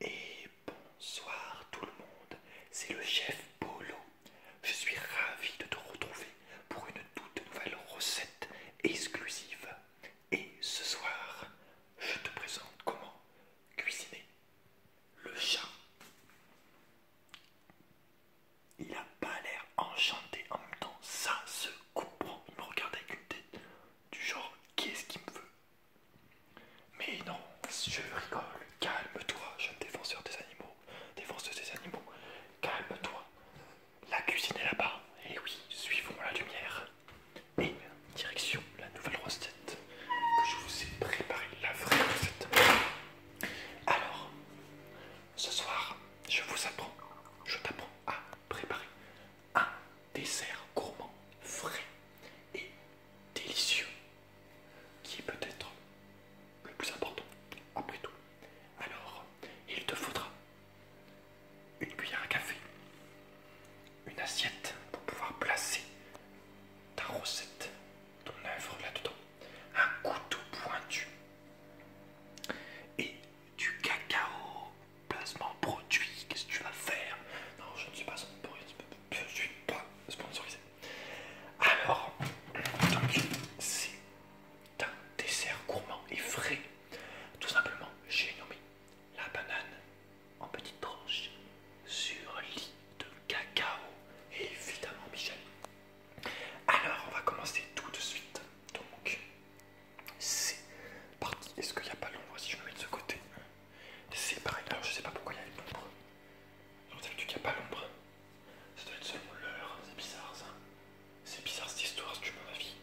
Et bonsoir tout le monde, c'est le chef Polo. Je suis ravi de te retrouver pour une toute nouvelle recette exclusive. Et ce soir, je te présente comment cuisiner le chat. Il n'a pas l'air enchanté en même temps, ça se comprend. Il me regarde avec une tête du genre qu'est-ce qu'il me veut mais non, je rigole, calme-toi, jeune défenseur des animaux, défenseur des animaux, calme-toi. La cuisine est là-bas, et eh oui, suivons la lumière. Et direction la nouvelle recette que je vous ai préparée, la vraie recette. Alors, ce soir, je vous apprends, je t'apprends à préparer un dessert gourmand frais et délicieux qui est peut-être le plus important après tout. Alors, il te faudra une cuillère à café, une assiette pour pouvoir placer ta recette, ton œuvre là-dedans, un couteau pointu et du cacao placement produit, qu'est-ce que tu vas faire Non, je ne suis pas sponsorisé. Je suis pas sponsorisé. Alors, c'est un dessert gourmand et frais. Tout simplement, j'ai nommé la banane en petites tranches sur lit de cacao, évidemment, Michel. Alors, on va commencer tout de suite. Donc, c'est parti. Est-ce qu'il n'y a pas l'ombre si je me mets de ce côté C'est pareil. Alors je sais pas pourquoi il y a l'ombre. dire qu'il n'y a pas l'ombre. Ça doit être seulement l'heure. C'est bizarre ça. C'est bizarre cette histoire, si tu me vie.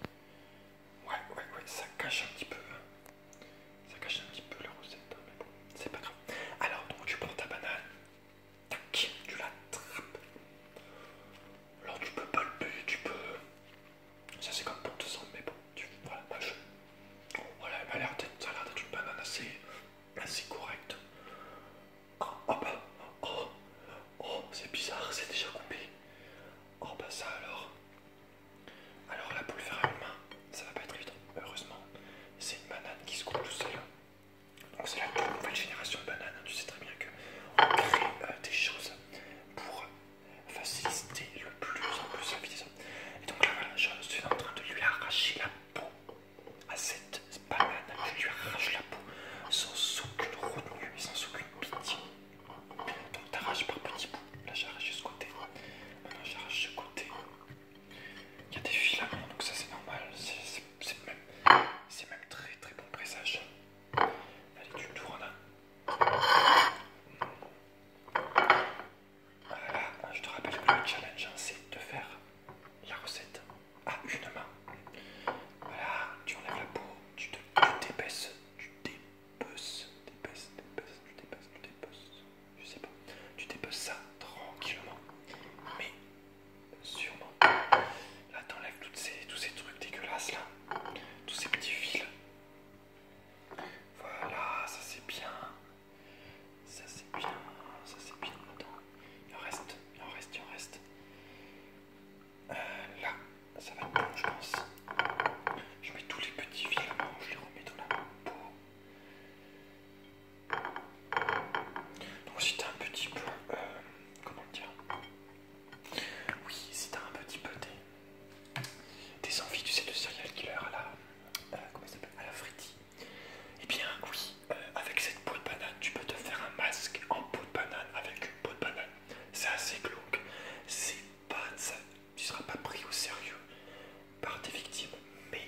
Ouais, ouais, ouais, ça cache un petit peu. Hein. Ça cache un petit peu la recette, hein, mais bon, c'est pas grave. Alors donc tu prends ta banane, tac, tu l'attrapes. Alors tu peux pas tu peux... Ça c'est comme pour te sentir, mais bon, tu... voilà, moi je... Voilà, elle a l'air d'être une banane assez, assez correcte. Oh, oh bah, oh, oh, c'est bizarre, c'est déjà coupé. Oh bah ça alors. Alors la pour le faire à ça va pas être évident. Heureusement, c'est une banane qui se coupe tout seul. Donc ah, c'est la nouvelle génération de bananes. Hein. Tu sais très bien qu'on crée euh, des choses pour euh, faciliter le plus en plus la vie Et donc là voilà, je suis en train de lui arracher la peau à cette banane. Je lui arrache la peau sans aucune retenue sans aucune pitié. Donc t'arraches par petits bouts. Là j'arrache ce côté. Maintenant j'arrache ce côté. Il y a des filaments, donc ça c'est normal. C'est même, même très très bon pressage. Allez, tu là. Voilà, ben, je te rappelle que le challenge, hein, c'est de faire la recette à une main. Voilà, tu enlèves la peau, tu te tu t'épaisses, tu t'épaisses, Tu t'épaisses, tu t'épaisses, tu t'épaisses, je sais pas. Tu t'épaisses ça tranquillement, mais Sûrement. Là, t'enlèves tous ces trucs dégueulasses là. Tous ces petits fils. Voilà, ça c'est bien. Ça c'est bien. Ça c'est bien. Il en reste. Il en reste. Il en reste. Euh, là, ça va être bon, je pense. Je mets tous les petits fils Je les remets dans la peau. Donc si t'as un petit peu... Euh, comment dire Oui, si t'as un petit peu des, des envies, tu sais, de serial killer à la... Euh, comment s'appelle À la friti. Eh bien oui, euh, avec cette peau de banane, tu peux te faire un masque en peau de banane avec une peau de banane. C'est assez glauque. C'est pas... tu seras pas pris au sérieux par tes victimes, mais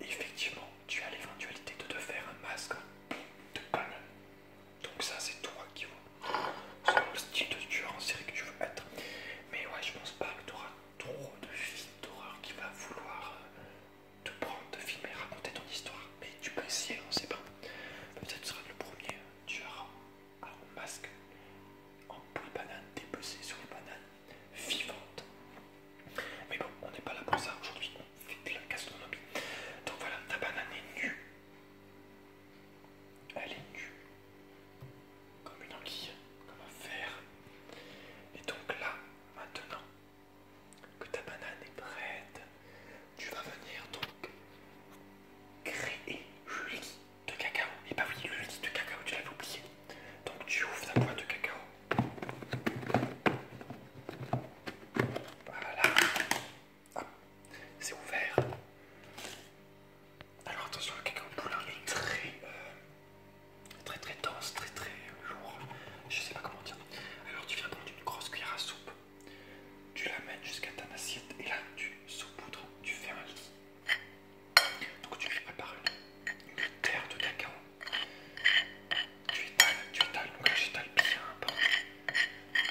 effectivement, tu as l'éventualité de te faire un masque de banane, Donc ça, c'est toi qui vois. Selon le style de tueur en série que tu veux être. Mais ouais, je pense pas que tu auras trop de films d'horreur qui va vouloir euh, te prendre, te filmer, raconter ton histoire. Mais tu peux essayer, on sait pas. Bah, peut-être tu seras le premier tueur à un masque en boule banane, dépecé sur les bananes vivante. Mais bon, on n'est pas là pour ça aujourd'hui, on fait de gastronomie. Donc voilà, ta banane est nue. Elle est nue. Comme une anguille, comme un fer. Et donc là, maintenant que ta banane est prête, tu vas venir donc créer le lit de cacao. Et bah oui, le lit de cacao, tu l'avais oublié. Donc tu ouvres ta boîte de cacao voilà. c'est ouvert. Alors attention, le cacao poulet est très, euh, très très dense, très très lourd. Je sais pas comment dire. Alors tu viens prendre une grosse cuillère à soupe, tu l'amènes jusqu'à ta assiette et là tu saupoudres, tu fais un lit. Donc tu lui prépares une, terre de cacao. Tu étales, tu étales, donc là j'étale bien un peu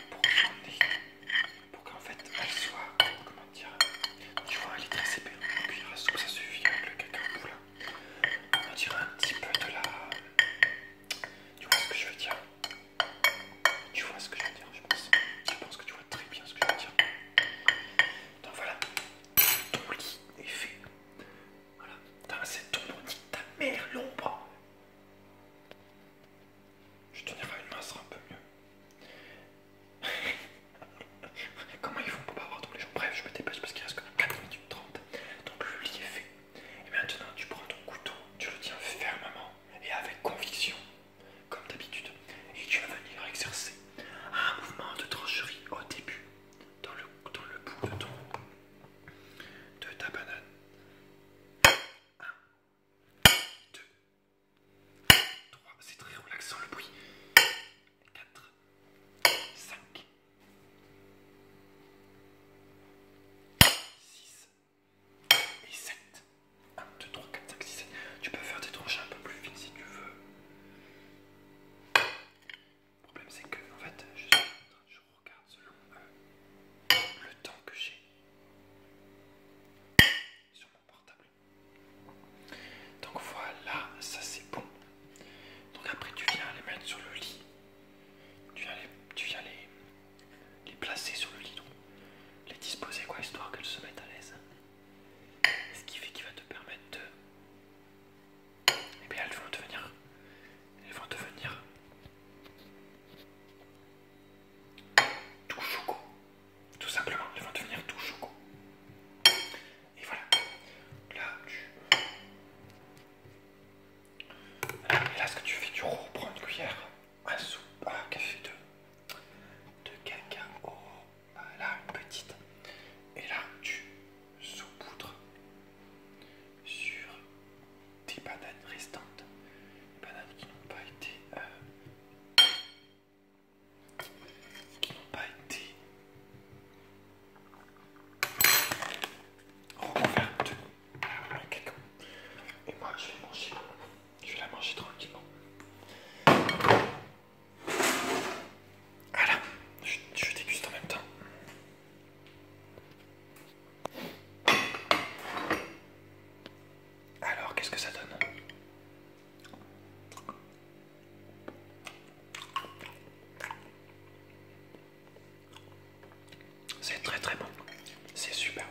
pour qu'on pour qu'en fait elle soit, comment dire, tu vois elle est très épais, ce que ça suffit avec le cacao voilà, On dire un petit peu de la... Tu vois ce que je veux dire Tu vois ce que je veux dire, je pense. Je pense que tu vois très bien ce que je veux dire. Donc voilà, ton lit est fait. Voilà, c'est ton lit, ta mère, l'ombre. Je tenir à une main, sera un peu mieux. Comment ils font pour pas avoir tous les jours Bref, je me dépêche parce qu'il reste que 4 minutes 30. Donc le lit est fait. Et maintenant, tu prends ton couteau, tu le tiens fermement et avec conviction comme d'habitude, et tu vas venir exercer un mouvement de trancherie au début dans le, bout de, ton, de ta banane. 1, 2, 3, c'est très relaxant le bruit. 4, 5, 6 et 7. 1, 2, 3, 4, 5, 6, 7. Tu peux faire des tranches un peu plus fines si tu veux. Le problème c'est que en fait je, regarde selon euh, le temps que j'ai sur mon portable. Donc voilà, ça c'est bon. Donc après tu viens les mettre sur le lit. Tu viens les, tu viens les, les placer sur le lit. Donc les disposer quoi histoire qu'elles se mettent à l'aise. Ce qui fait qu'il va te permettre de... Et eh bien elles vont devenir... Elles vont devenir... Tout choco. Tout simplement, elles vont devenir tout choco. Et voilà. Là, tu... là, ce que tu fais, tu reprends une cuillère un soupe, un café de, de Oh euh, là une petite, et là tu saupoudres sur des bananes restantes, des bananes qui n'ont pas été euh, qui n'ont pas été recouvertes par le Et moi je vais manger. Je vais la manger tranquillement. Voilà, je, déguste en même temps. Alors, qu'est-ce que ça donne C'est très très bon. C'est superbe.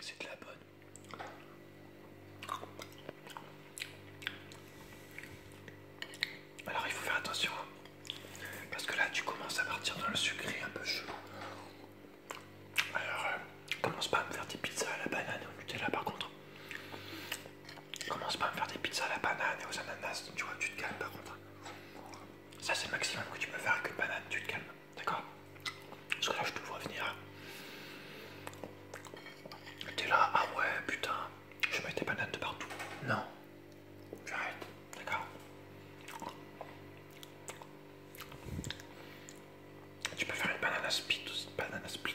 C'est de la bonne. Alors il faut faire attention hein. parce que là tu commences à partir dans le sucré un peu chelou. Alors euh, commence pas à me faire des pizzas à la banane au Nutella par contre. Commence pas à me faire des pizzas à la banane et aux ananas, tu vois, tu te calmes par contre. Ça c'est le maximum que tu peux faire avec une banane, tu te calmes, d'accord Parce que là je te vois venir. T'es là, ah ouais putain, je mets des bananes de partout. Non, j'arrête, d'accord tu peux faire une banana split ou une banana split.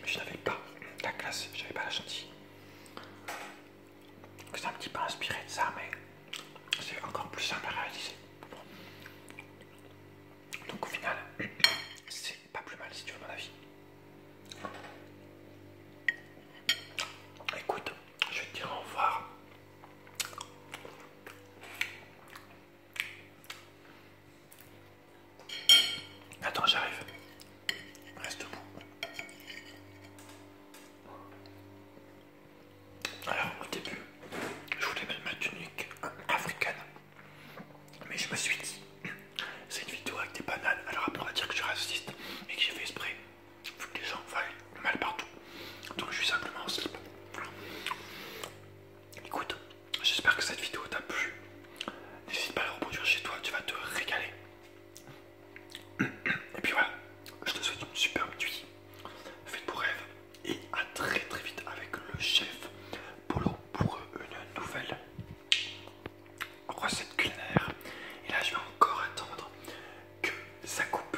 Mais je n'avais pas la classe, j'avais pas la chantilly. C'est un petit peu inspiré de ça, mais c'est encore plus simple à réaliser. Donc au final, c'est pas plus mal si tu veux mon avis. Écoute, je vais te dire au revoir. Attends, j'arrive. Reste debout. Alors, au début, je voulais mettre ma tunique africaine. Mais je me suis dit, c'est une vidéo avec des bananes. Alors après, on va dire que je suis raciste et que j'ai fait esprit. Vu que les gens voient mal partout. Donc je suis simplement en slip. Écoute, J'espère que cette vidéo t'a plu. N'hésite pas à la reproduire chez toi, tu vas te régaler. Et puis voilà, je te souhaite une superbe nuit. Faites pour rêve et à très très vite avec le chef Polo pour une nouvelle recette culinaire. Et là, je vais encore attendre que ça coupe.